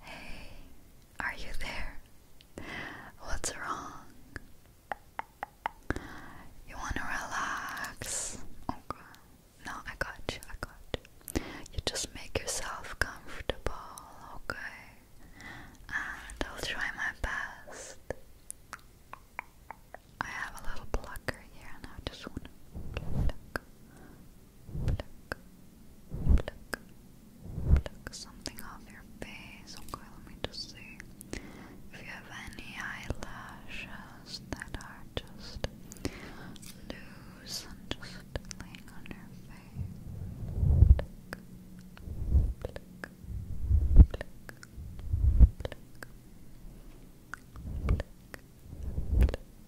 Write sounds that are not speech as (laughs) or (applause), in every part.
Hey, are you there? What's wrong? You want to relax? Okay. Oh, no, I got you. I got you. You just make yourself comfortable, okay? And I'll try my best. I have a little plucker here, and I just want to pluck, pluck, pluck, pluck something off your face. Okay, let me just see if you have any eyelashes that are just loose and just laying on your face. Black,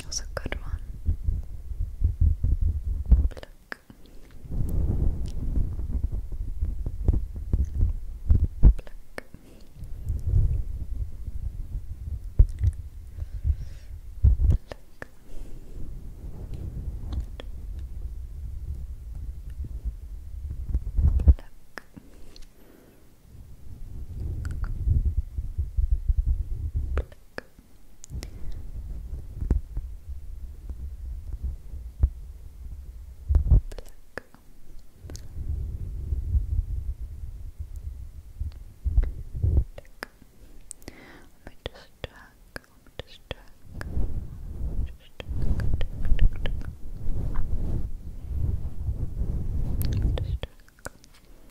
It was a good one. Pluck. Pluck. Pluck. Pluck. Pluck. Let me just check. Let me just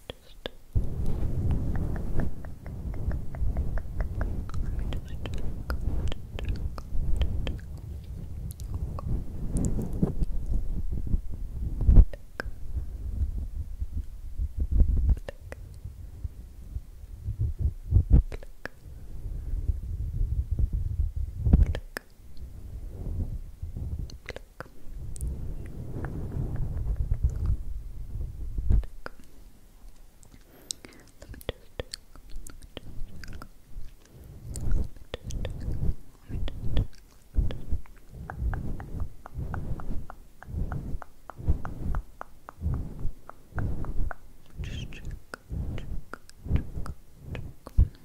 just let me just Click. Click. Click. Pluck. Pluck. Let me just check. Let me just check. Let me just check. Just check, check, check, check. Good. Let me just.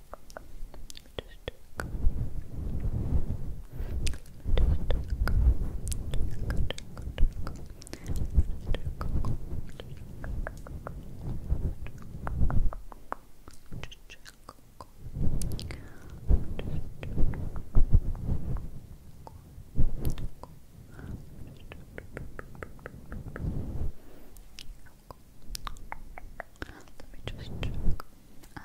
Let me just check. Um,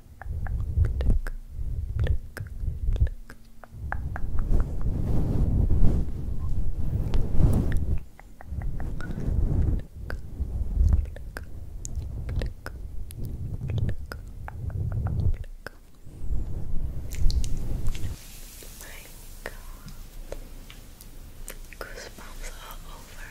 Pluck, pluck, pluck. My God, goosebumps all over.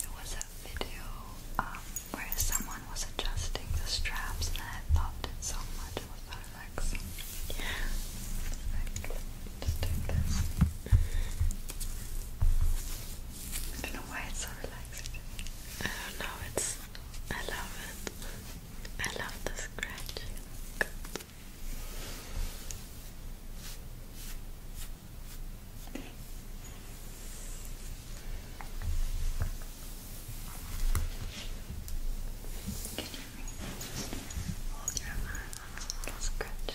There was a video um, where someone was adjusting the straps and I loved it so much. It was so relaxing. just doing this. I don't know why it's so relaxing. I don't know, it's I love it. I love the scratching. hold your arm? Scratch.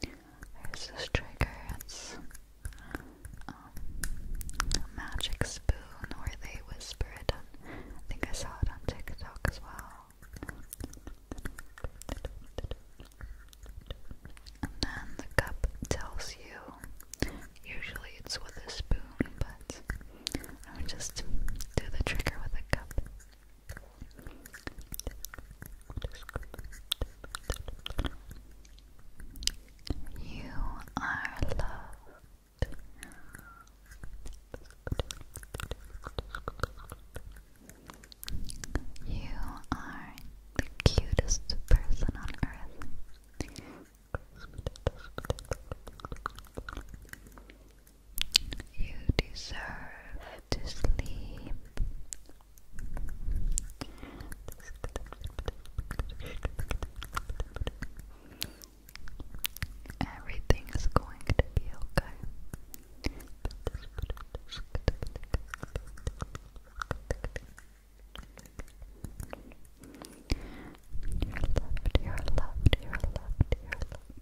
There's this trigger, it's um, a magic spoon where they whisper it on, I think I saw it on TikTok as well. And then the cup tells you, usually it's with a spoon, but I would just do the trigger with a cup. You are loved. You are the cutest person on earth. You deserve to sleep. Everything is going to be okay. You're loved, you're loved, you're loved, you're loved.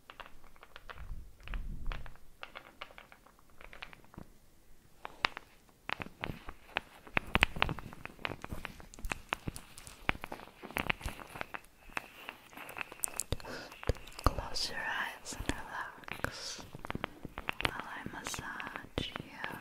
Close your eyes and relax while I massage you.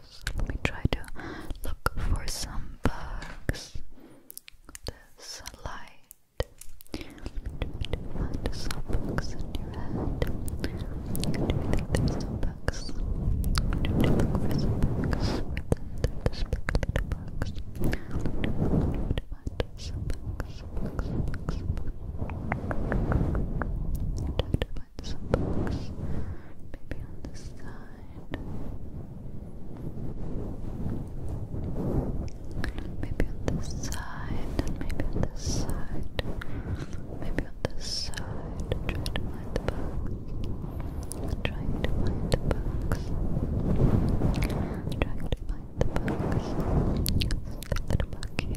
So let me try to look for some bugs. This light. Try to find some bugs in your head. Do you think there's some bugs? bugs. Some Try to find some bugs. Maybe on this side. Maybe on this side, maybe on this side. Maybe on this side. Try to find the bugs trying to find the books. Trying to find the books. There's a book here.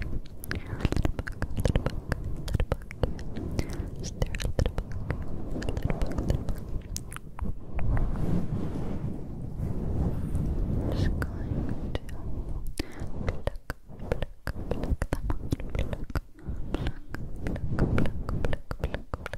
There's a book, there's a book, there's a book here. Is there a little book? There's a book, there's a book. Just going to pluck, pluck, pluck them out. Pluck, pluck, pluck, pluck, pluck, pluck.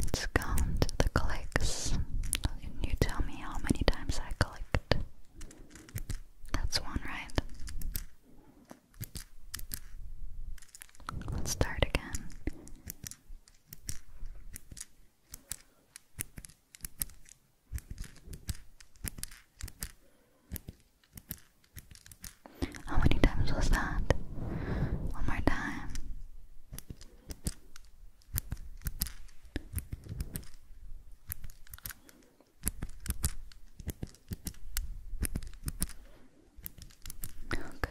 Let's count the clicks. You tell me how many times I clicked. That's one, right? Let's start again. How many times was that? One more time. Okay.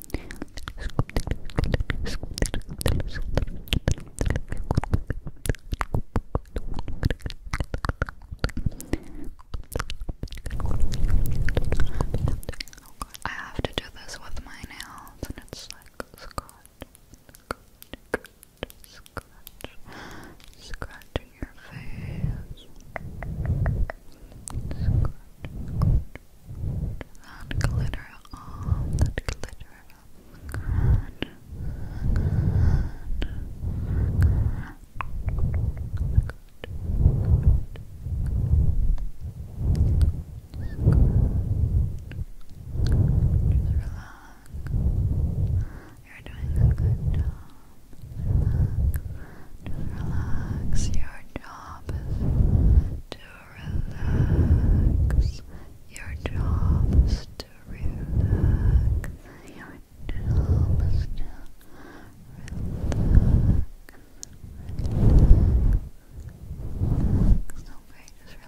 I have to do this with my nails, and it's like scratch, scratch, scratch, scratching your face. Scratch, scratch. That glitter all, that glitter up. Good. Relax. You're doing a good job. Just relax. Your job is to relax your jobs to relax your jobs to relax relax okay just relax Relax.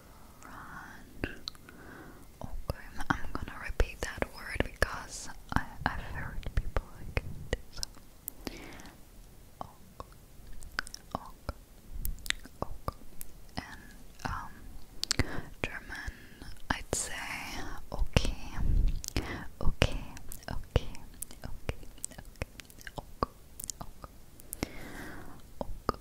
Okay, I'm gonna repeat that word because I, I've heard people like it. Ok, ok, ok. And um, German, I'd say okay, okay, okay, okay, ok, ok, ok,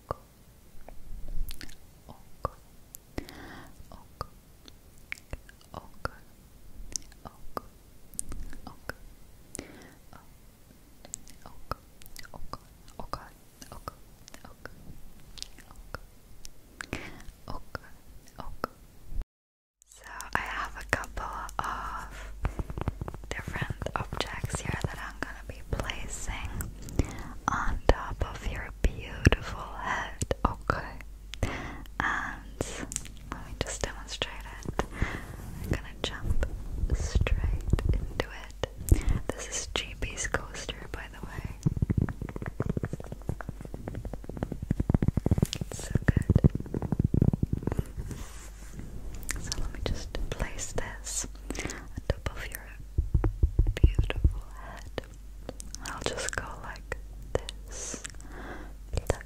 oko so I have a couple of different objects here that I'm I'm gonna be placing on top of your beautiful head, okay? And let me just demonstrate it. I'm gonna jump straight into it. This is GB's coaster, by the way. It's so good. So let me just place this on top of your beautiful head. I'll just go like this. Pluck,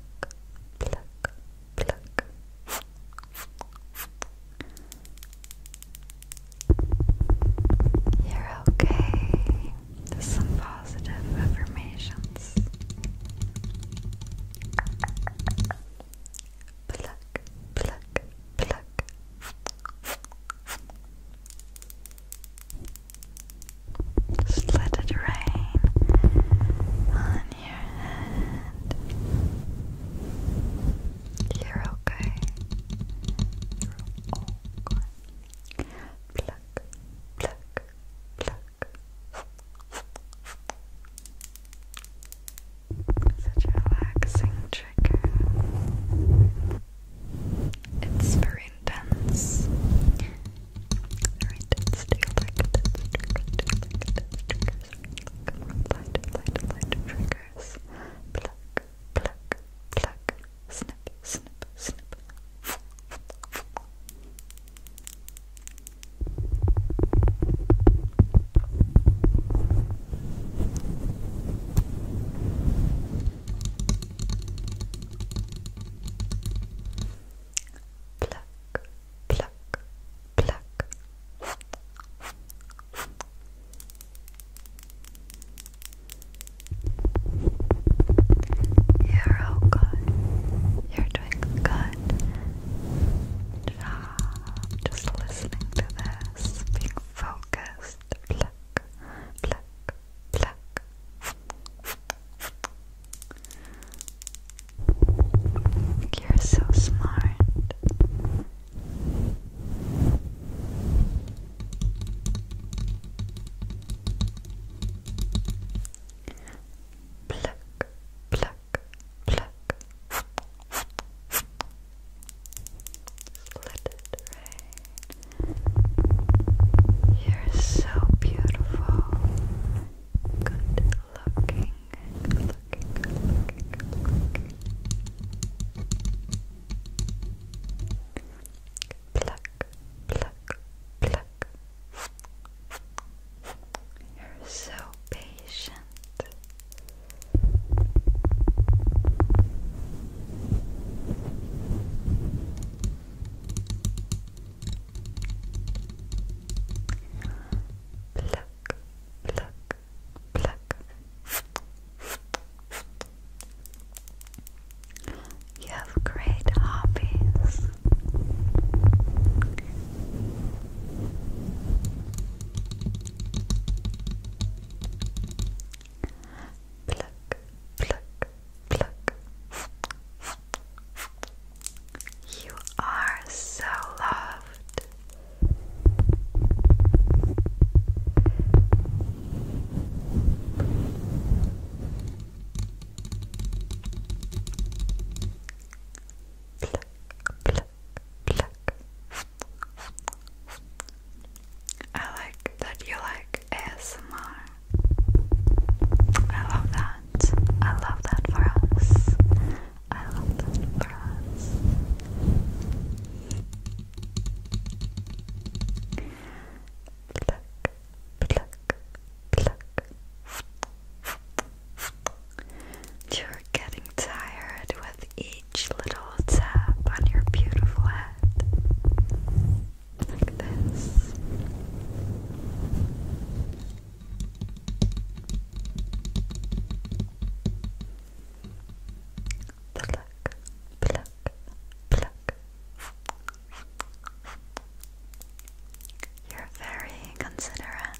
pluck, pluck. You're okay. some positive affirmations. Pluck, pluck, pluck. Just let it rain on your head. You're okay. You're okay. Such a relaxing trigger. It's very intense. Very intense. Do you like intense triggers? Do you like intense triggers? Are you looking for lighter, lighter, lighter triggers? Pluck, pluck, pluck. Snip, snip, snip. Pluck, pluck, pluck. You're all You're doing good. Job. Just listening to this grasping, focused. Pluck, pluck, pluck. You're so smart. Pluck, pluck, pluck. Let it rain. You're so beautiful. Good looking. Good looking. Good looking. You're so patient. Pluck, pluck, pluck. You have great hobbies. Pluck, pluck, pluck. You are so loved. Pluck, pluck, pluck, I like that you like ASMR. I love that. I love that for us. I love that for us. Pluck, pluck, pluck. You're getting tired with each little tap on your beautiful head. Like this. Pluck, pluck, pluck. You're very considerate.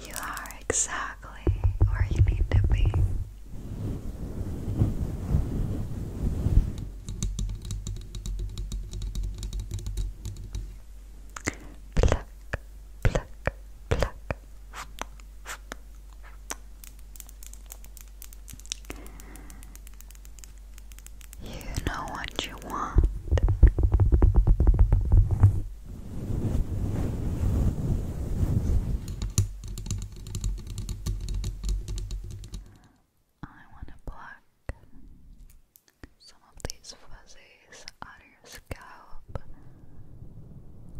you are exactly where you need to be. Pluck, pluck, pluck. You know what you want. I want to pluck some of these fuzzies out of your scalp.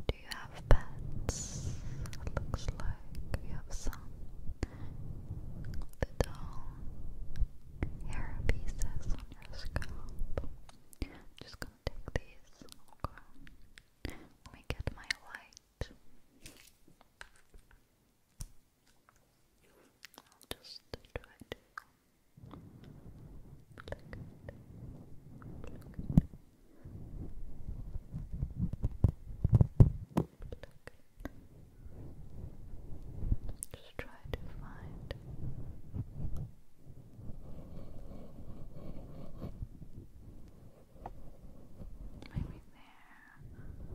Do you have pets? looks like you have some little hair pieces on your scalp. Just go take these. Okay. Let me get my light. I'll just try to just try to find Maybe there. Pluck. Pluck.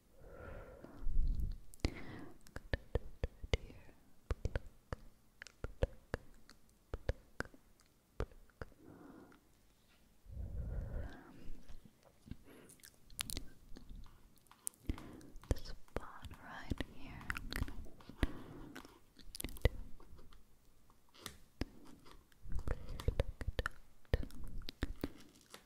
I'm spot right here.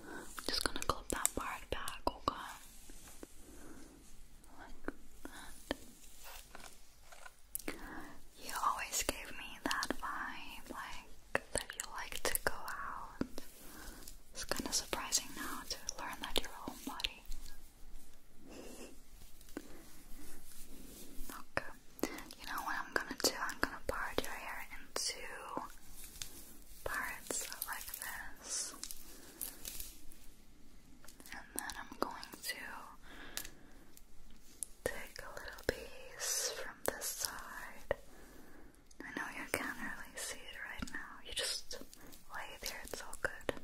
I'm just gonna clip that part back, okay? Like that. You always gave me that vibe, like that you like to go out. It's kind of surprising now to learn that you're a homebody. Okay, you know what I'm gonna do? I'm gonna part your hair into parts like this. And then I'm going to take a little piece from this side. I know you can't really see it right now. You just lay there, it's all good.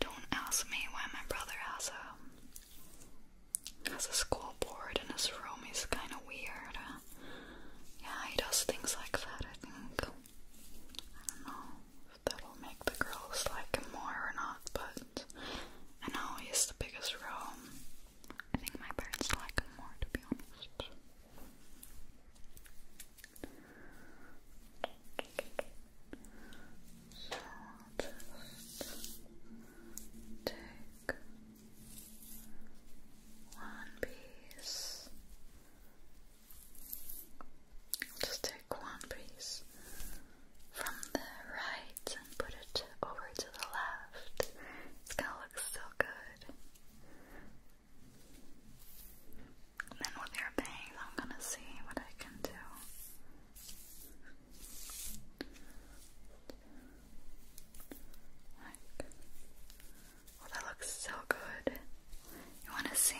Don't ask me why my brother has a has a school board in his room. He's kind of weird. Yeah, he does things like that. I think. I don't know if that'll make the girls like him more or not, but I know he's the biggest room. I think my parents like him more, to be honest. So, just take one piece. Just take one piece from the right and put it over to the left. It's gonna look so good. then with your bangs, I'm gonna see what I can do. Like, oh, that looks so good. You want to see?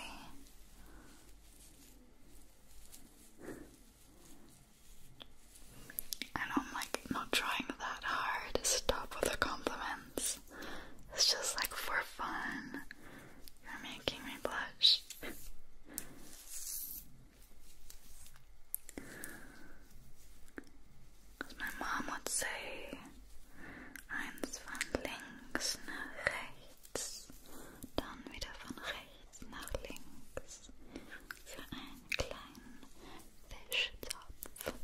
I I'm like not trying that hard to stop with the compliments. It's just like for fun. You're making me blush. my mom would say, eins von links nach rechts, dann wieder von rechts nach links, für einen kleinen Fischtopf.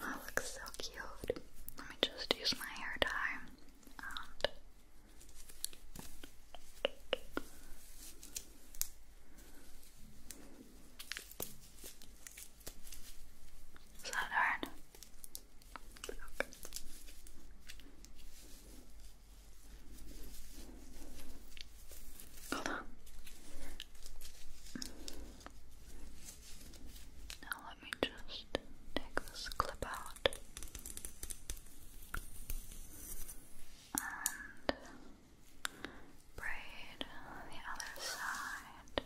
That looks so cute. Let me just use my hair tie is that hard? Hold on. Now let me just take this clip out and braid the other side.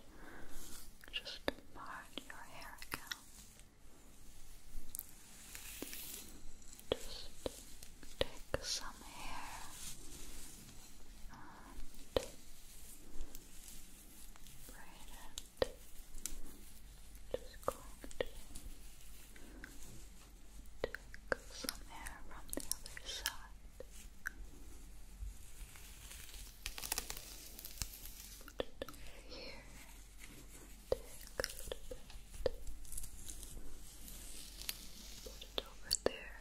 Just part your hair again. Just take some hair and right and just going take some air from the other side. Put it here. Take a little bit. Put it over there.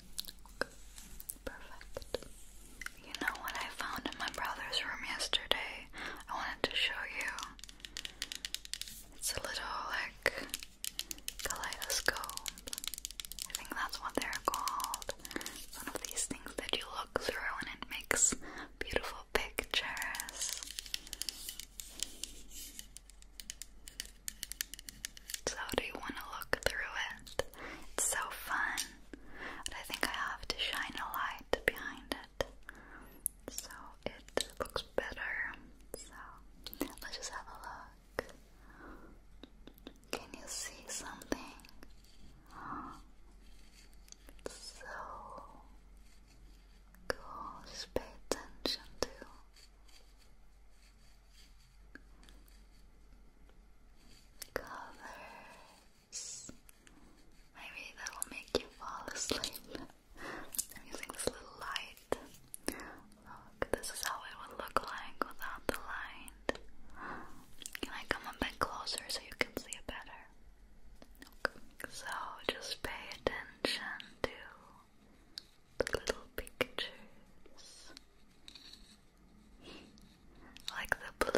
You know what I found in my brother's room yesterday? I wanted to show you. It's a little like kaleidoscope. I think that's what they're called. It's one of these things that you look through and it makes beautiful pictures. So, do you want to look through it? It's so fun and I think I have to shine a light behind it so it looks better. So let's just have a look. Can you see something? so cool. pay attention to colors. Maybe that will make you fall asleep. using this little light. Look, this is how it would look like without the light. Can I come a bit closer so you can see it better? Okay. So just pay attention to the little pictures like the blue.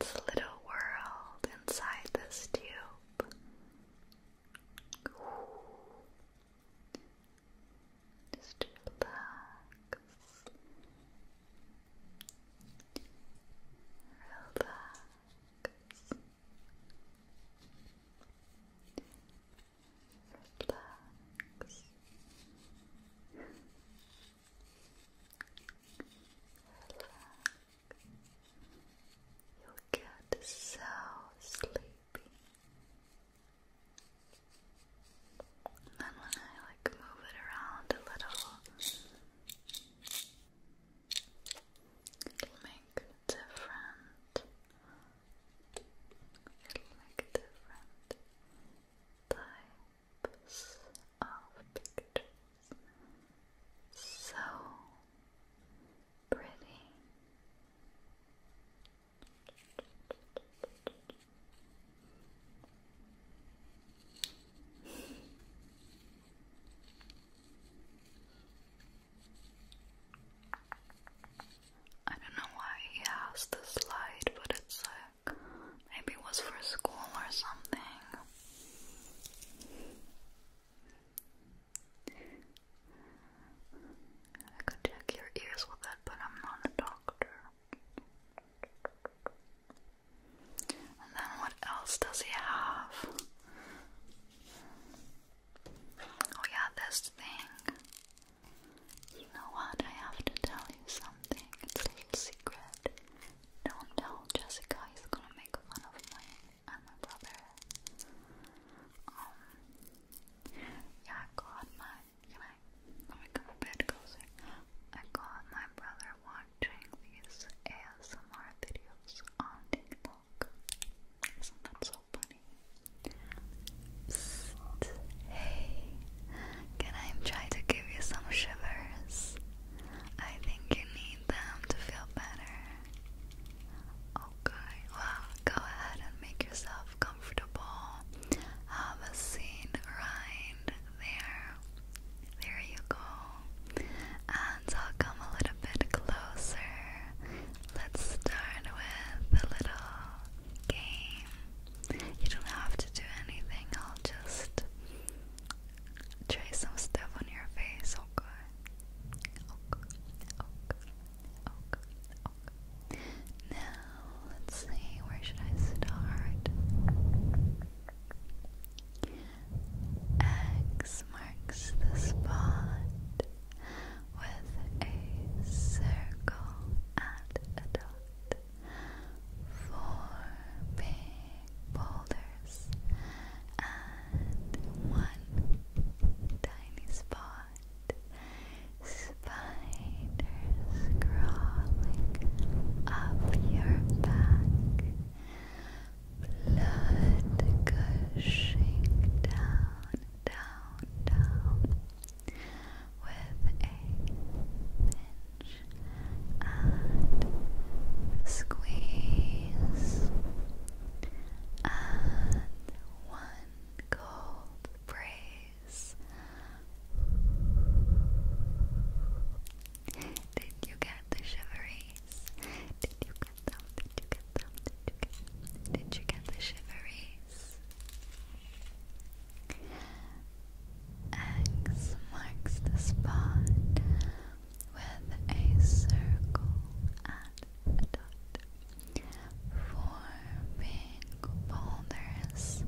Just this little world inside this tube. Just relax. Relax. Relax. Relax. you get so sleepy. And then when I like move it around a little, It'll make different. It'll make different types of pictures. So pretty. I don't know why he has this light, but it's like maybe it was for school or something. I could check your ears with it, but I'm not a doctor. And then what else does he have? Oh, yeah, this thing. You know what? I have to tell you something. It's a little secret. Don't tell Jessica, he's gonna make fun of me and uh, my brother. Um, yeah, I got my. Can I? Let closer. I got my brother watching these ASMR videos on TikTok. Isn't that so so funny. Psst. Hey, can I try to give you some shivers? I think you need them to feel better. Okay, well, go ahead and make yourself comfortable. Have a seat right there. There you go ones, I'll come a little bit closer. Let's start with a little game. You don't have to do anything, I'll just trace some stuff on your face, okay? Okay, okay, okay, okay. Now, let's see, where should I start? X marks the spot with a circle and a dot, four big boulders, and one tiny spot. Spiders crawling up your back, blood gushing down down, down with a pinch and squeeze and one cold brace. Did you get the shiveries? Did you did you get them? Did you get them? Did you get the shiveries? X marks the spot with a circle and a dot, forming boulders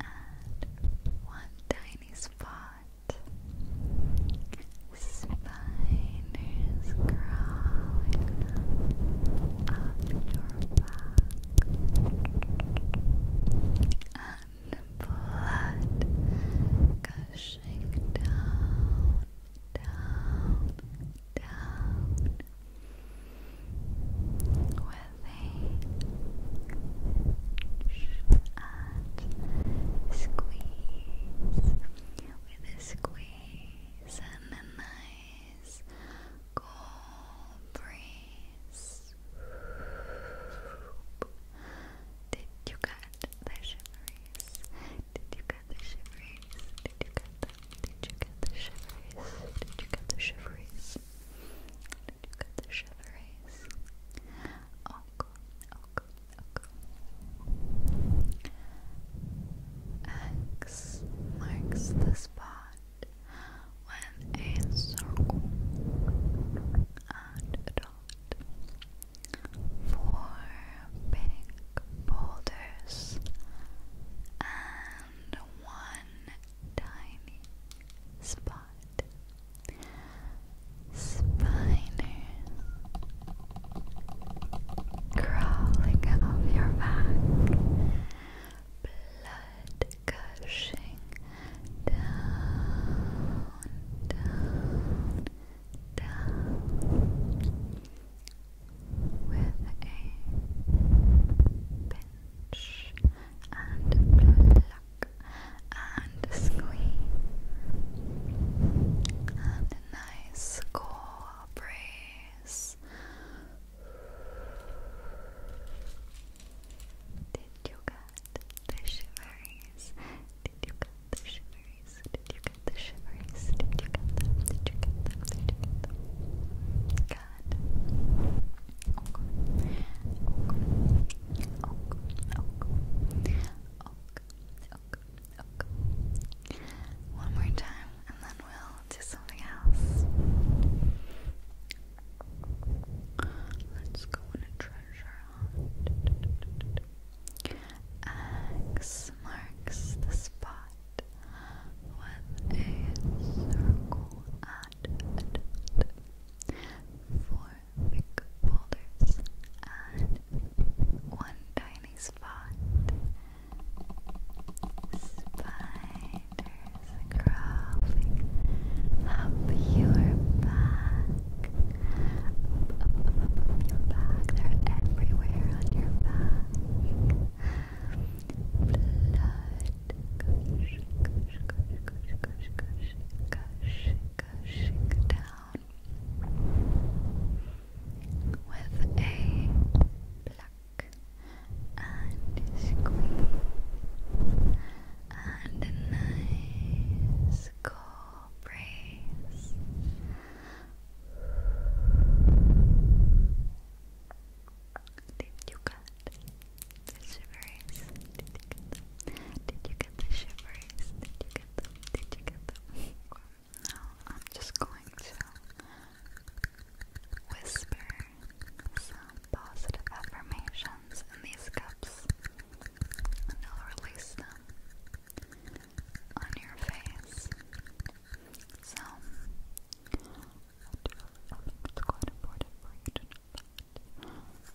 and one tiny spot. Spiders crawling up your back and blood gushing down, down, down with a pinch and squeeze with a squeeze breeze and a nice cool breeze. Did you get the shivers? Did you get the shivers? Did you get the Did you get the shivers? Did you get the shivers? Did you get the shivers? Oh, oh, oh X marks the spot with a circle and a dot. Four big boulders and one tiny spot. Spider crawling up your back, blood gushing down, down, down with a pinch and pluck and squeeze and a nice cooperate eyes. Did you get the shivers? Did you get the shivers? Did you get the shivers? Did you get them? Did you get them? Did you get them? Oh god. Oh god. Oh god. Oh god ok, ok. One more time, and then we'll do something else. Let's go on a treasure hunt. X marks the spot with a circle at Four big boulders and one tiny spot Spiders crawling up your back. Up, up, up, up, your back. They're everywhere on your back. Blood. Gush, gush, gush, gush, gush, gush, gush, gush, gush down with a pluck and squeeze and a nice cool breeze. Did you get the shivers? Did you get the shivers? Did you get them? Did you get them? (laughs) Now I'm just going to whisper some positive affirmations in these cups and I'll release them on your face. So, it's quite important for you to know that.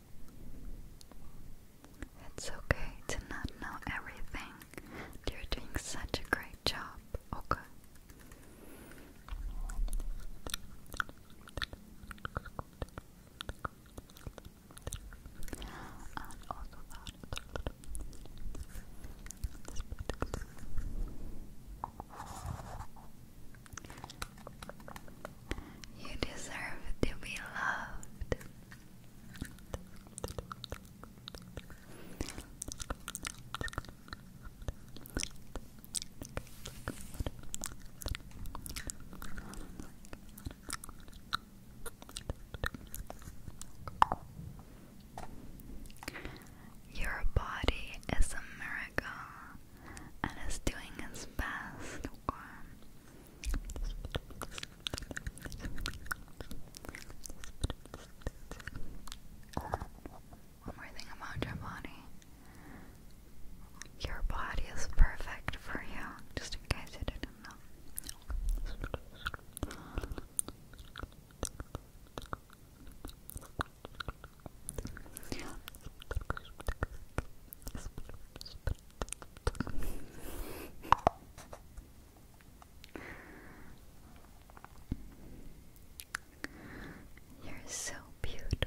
It's okay to not know everything. You're doing such a great job, okay? You deserve to be loved. Your body is a miracle and is doing its best one more thing about your body. Your body is perfect for you, just in case you didn't know. You're so beautiful.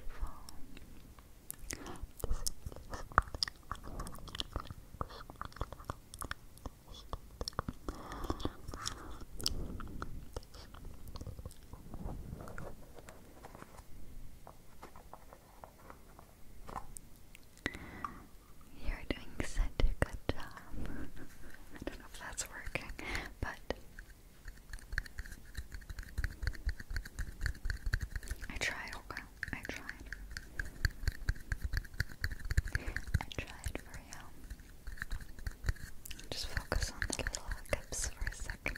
You're doing such a good job. (laughs) I don't know if that's working, but I tried, okay? I tried. I tried for you. Just focus on the little lips for a second.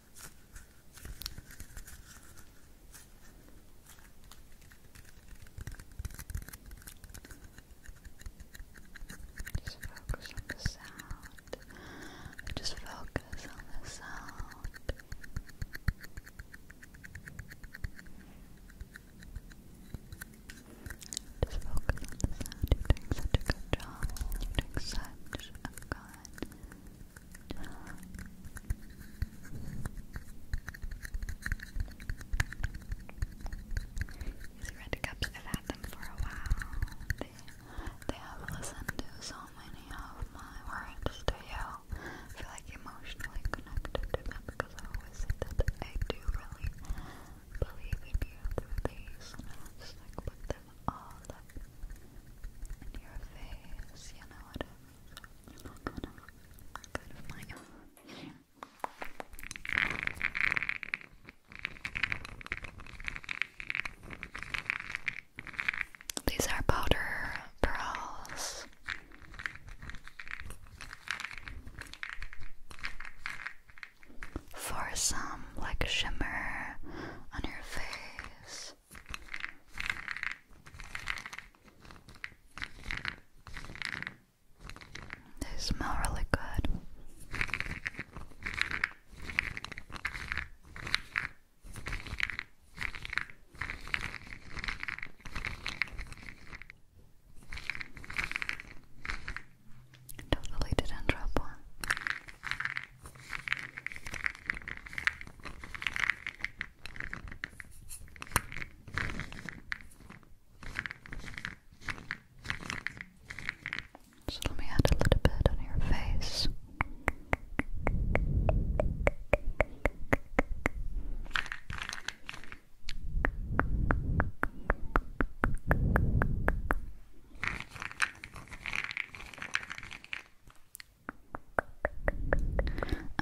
Just focus on the sound. Just focus on the sound. Just focus on the sound. You're doing such a good job. You're doing such a good these red have had them for a while. They, they have listened to so many of my words to you. I feel like emotionally connected to them because I always say that I do really believe in you through these. And like put this all up in your face, you know what These are powder pearls. For some like shimmer on your face, they smell really good. Definitely didn't drop one. So let me add a little bit on your face.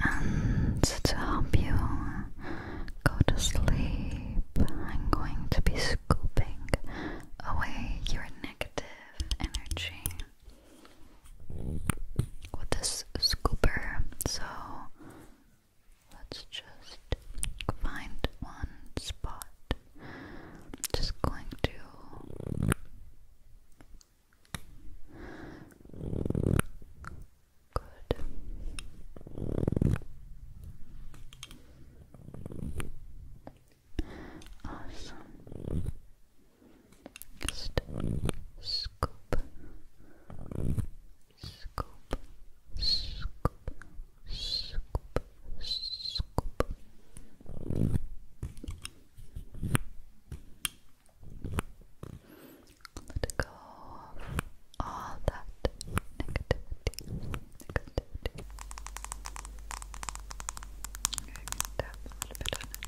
And to help you go to sleep, I'm going to be scooping away your negative energy with this scooper. So let's just find one spot. Just going to Good. Awesome. scoop, scoop, scoop, scoop, scoop. Let go of all that negativity. Negativity. Okay, tap a little bit on it.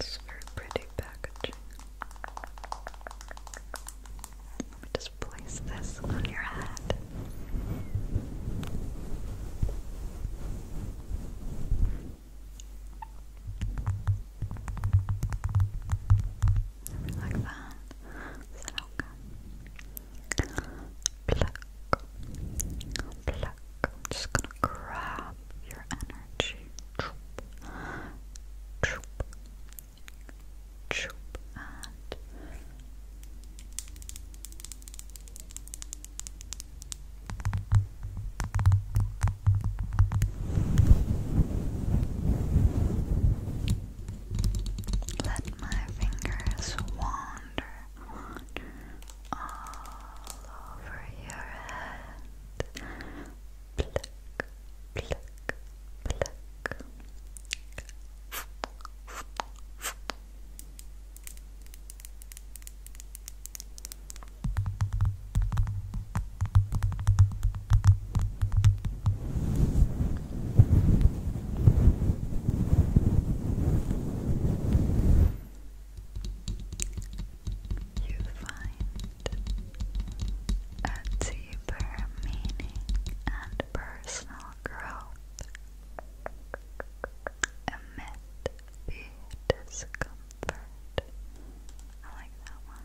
It's very pretty packaging. Let me just place this on your head. Like that. Is that okay? Pluck, pluck. I'm just gonna grab your energy. Troop, troop, troop, and let my fingers warm wander all over your head. Pluck, pluck, pluck you find a deeper meaning and personal growth amid the discomfort. I like that one.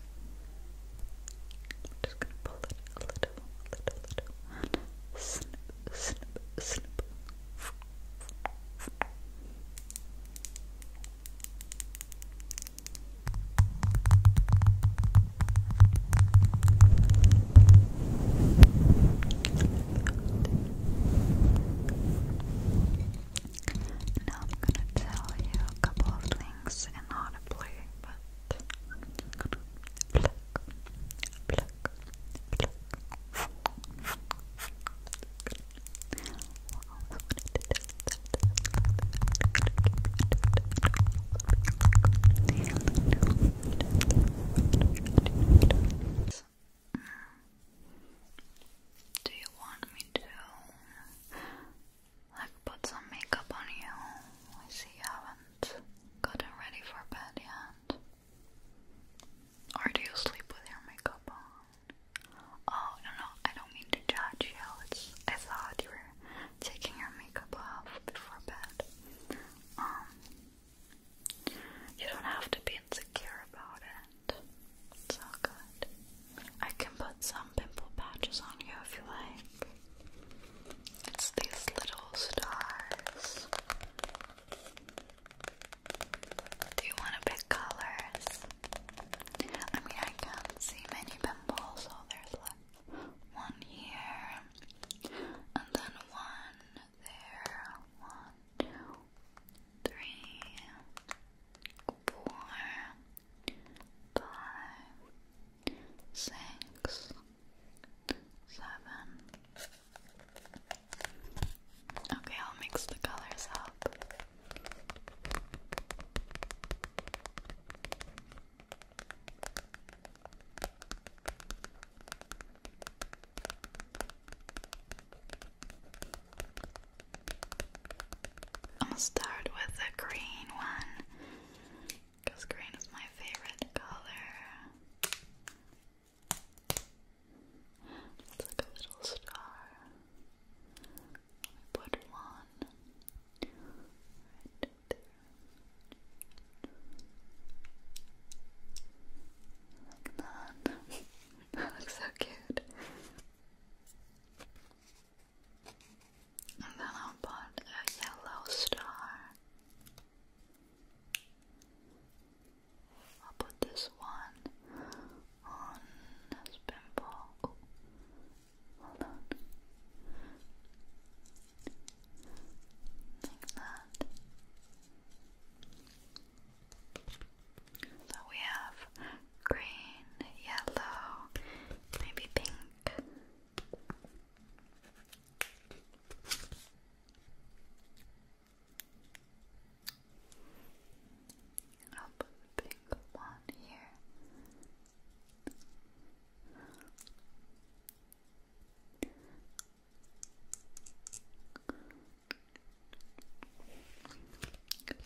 i just gonna pull it a little, a little, little. Snip, snip, snip. Now I'm gonna tell you a couple of things in how to play, Pluck, Do you want me to I've put some makeup on you. I see you haven't gotten ready for bed yet. Or do you sleep with your makeup on? Oh, no, no, I don't mean to judge you. I thought you were taking your makeup off before bed. Um, you don't have to be insecure about it. It's all good. I can put some pimple patches on you if you like. It's these little stars. Do you want to pick colors? I mean, I can't see many pimples, so there's like one here, and then one there. One, two, three, four five, six, seven. Okay, I'll mix the colors up. I'm gonna start with the green one because green is my favorite color. It's like a little star. I put one right there. Like that. (laughs) that looks so cute. And then I'll put a yellow star. I'll put this one on this pimple. Oh, hold on. Like that. So we have green, yellow, maybe pink, I'll put one here.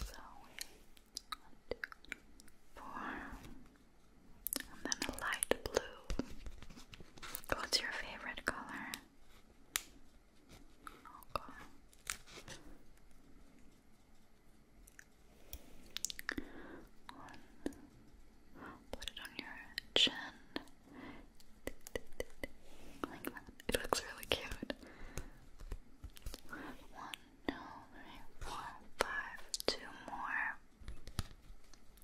So, one, two, four, and then a light blue. What's your favorite color? Put it on your chin. Like that. It looks really cute. One, no, more.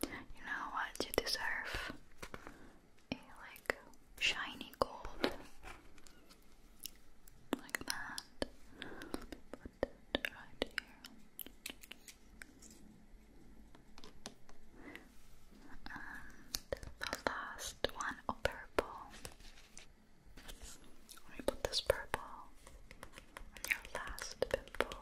You know what? You deserve like shiny gold. Like that. Let right here. the last one, oh purple. Let put this purple on your last pimple. Purple.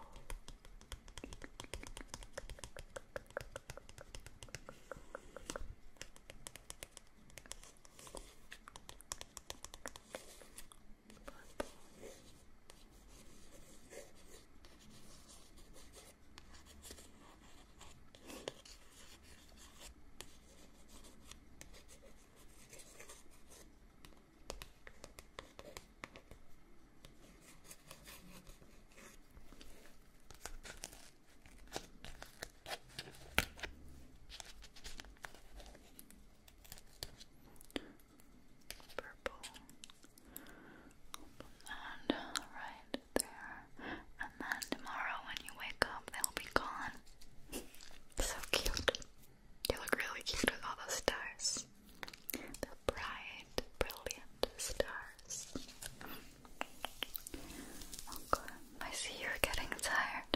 Purple and uh, right there. And then tomorrow when you wake up, they'll be gone. (laughs) so cute. You look really cute with all those stars. They're bright, brilliant stars. Okay, I see you're getting tired.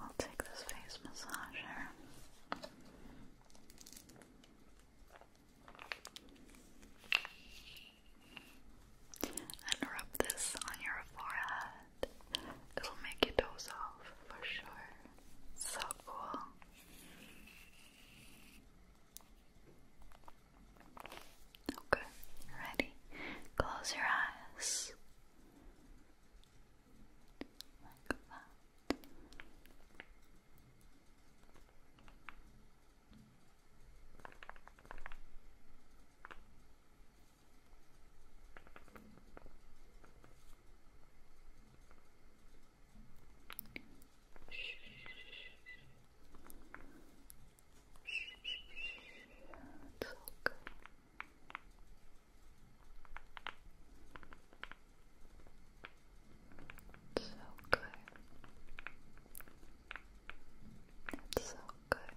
I'll take this face massager. And rub this on your forehead it'll make you doze off for sure. So cool. Okay, ready? Close your eyes. Like that. It's all good. so good. so good.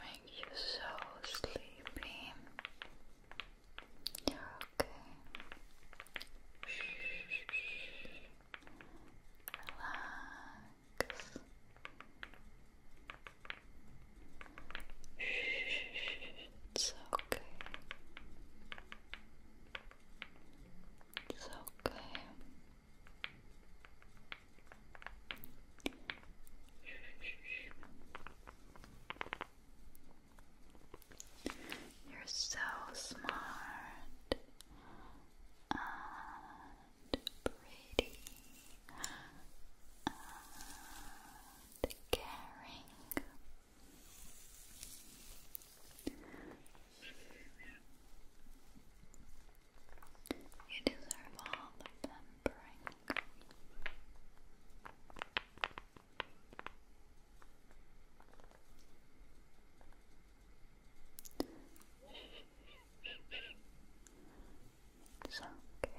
Make you so sleepy. okay. Relax. It's okay. okay. You're so smart and pretty and caring. You deserve all the pampering. It's okay.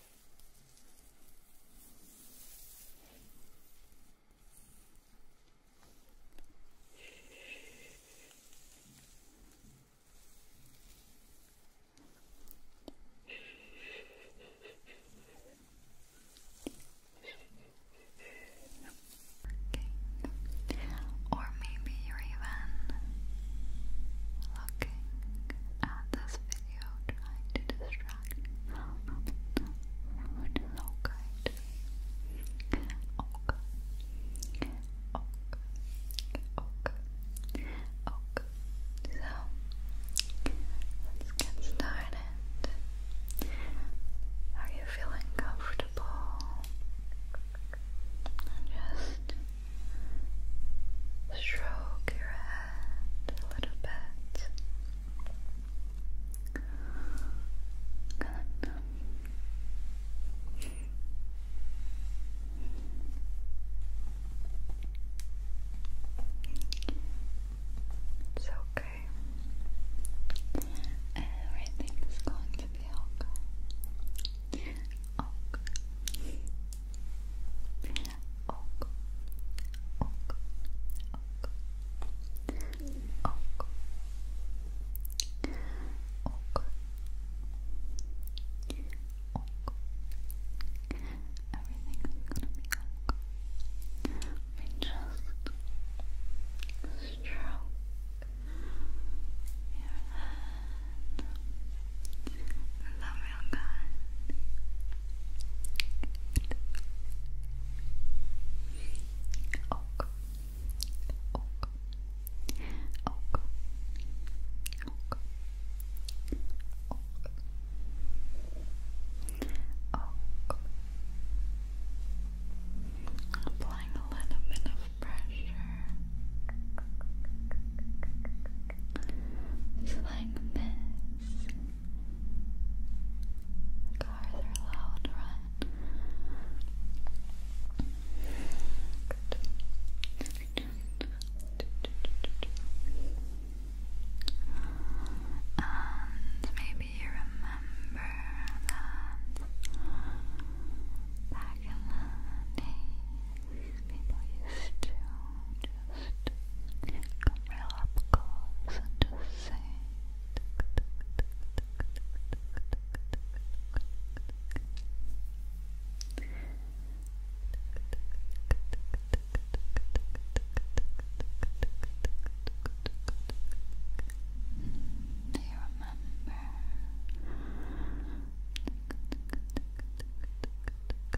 Okay. Or maybe you're even looking at this video trying to distract Road. Oh good. Oh good. So let's get started. Are you feeling comfortable? just stroke your head a little bit. okay. Everything is going to be okay. Okay och, och, och, och. Och. Och. Everything's gonna be okay. We just stroke your head Remember real good. Applying a little bit of pressure. like this. Cars are loud, right? Good. And maybe you remember that back in the days, people used to just come real up close and just say do you remember?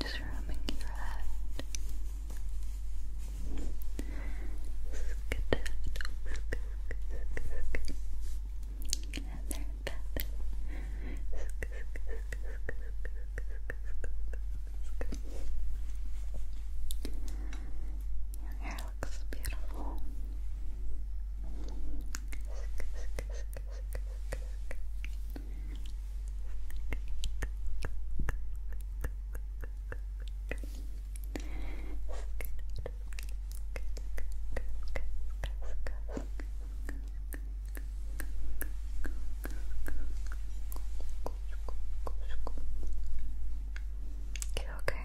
just rubbing your head your hair looks beautiful. Good, you okay?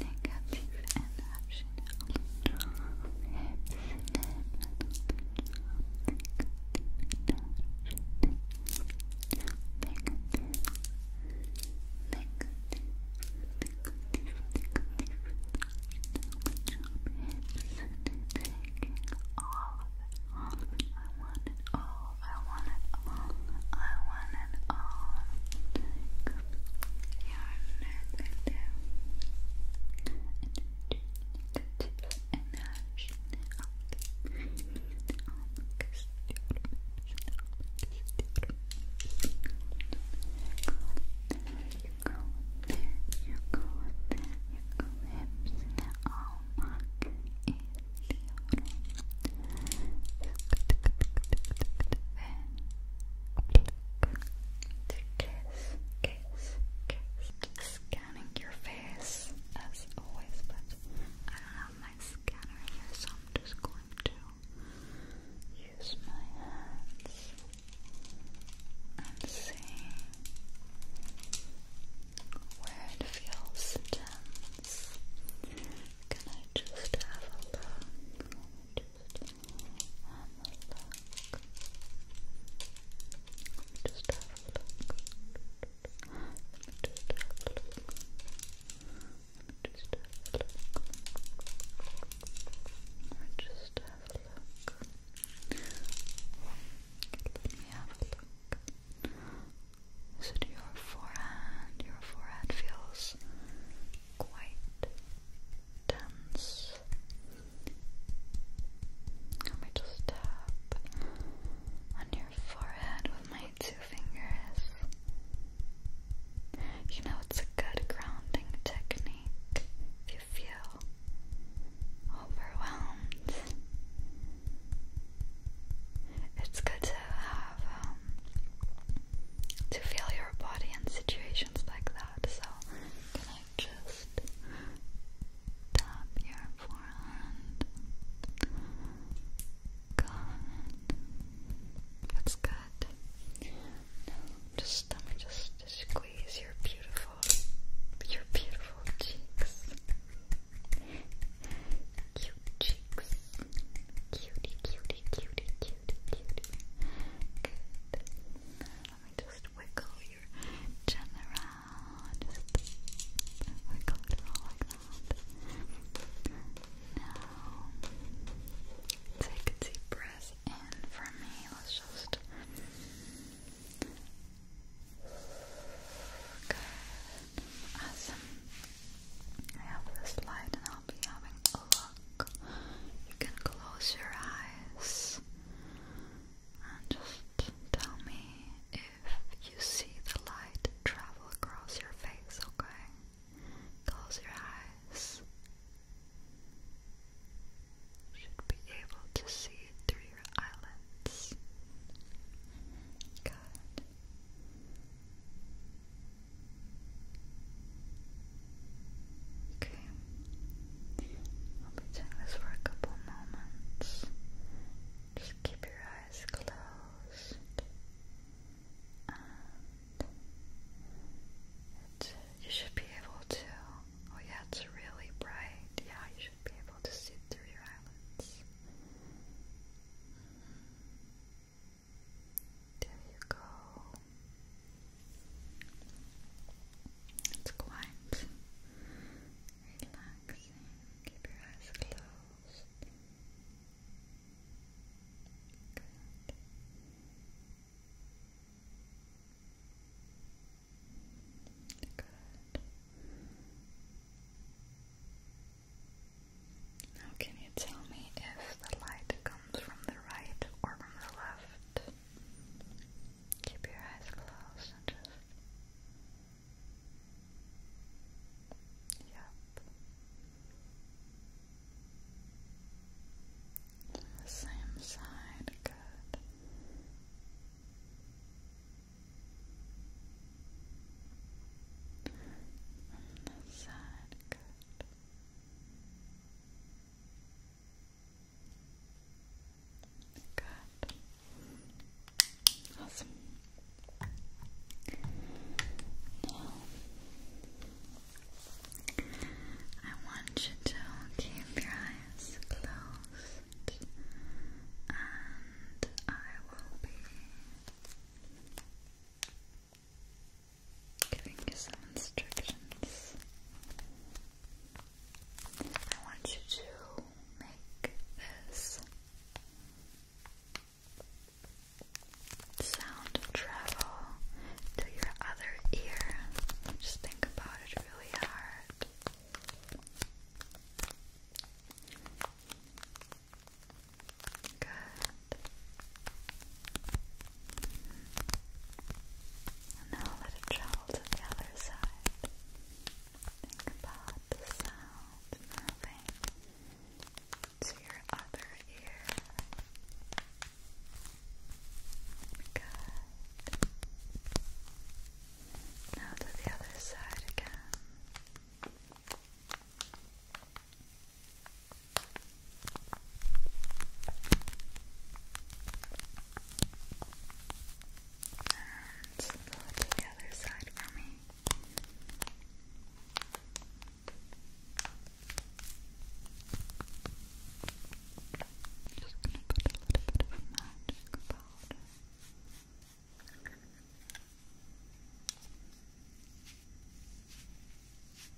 negative and optional all of it, all I want it all, I want it all, one and all like your negative negative energy you go there, you go there, you go there, all mark is the to kiss, kiss, kiss. Scanning your face as always, but I don't have my scanner here, so I'm just going to use my hands and see where it feels tense. Can I just have a look? Just have a look. just have a look. just have a look. just have a look. just have a look. Let me have a look. Is it your forehead? Your forehead feels quite let me just tap on your forehead with my two fingers. You know, it's a good grounding technique if you feel overwhelmed. It's good to have um, to feel your body in situations like that. So, can I just tap your forehead? Good. That's good. Now, just just squeeze your beautiful, your beautiful cheeks. Cute cheeks. Cutie, cutie, cutie, cutie cutie, cutie. Let me just wiggle your chin around. Just wiggle it all like that. Now, take a deep breath in for me. let just. Good. Awesome. I have this light and I'll be having you can close your eyes and just tell me if you see the light travel across your face, okay? Close your eyes. should be able to see it through your eyelids. Good. Okay. I'll be doing this for a couple moments. Just keep your eyes closed. you should be able to. Oh, yeah, it's really bright. Yeah, you should be able to see through your eyelids. There you go. It's quite relaxing. Keep your eyes closed. Good. Good. Now, can you tell me if the light comes comes from the right or from the left. Keep your eyes closed just. Yep. The same side, good. On side, good. Good. Awesome. Now, I want you to keep your eyes closed, and I will be giving you some instructions. I want you to make this sound travel to your other ear. Just think about it really hard. Good. And now let it travel to the other side. Think about the sound moving to your other ear. Good. Now to the other side again. And put the other side for me. Just gonna put a little bit of magic powder.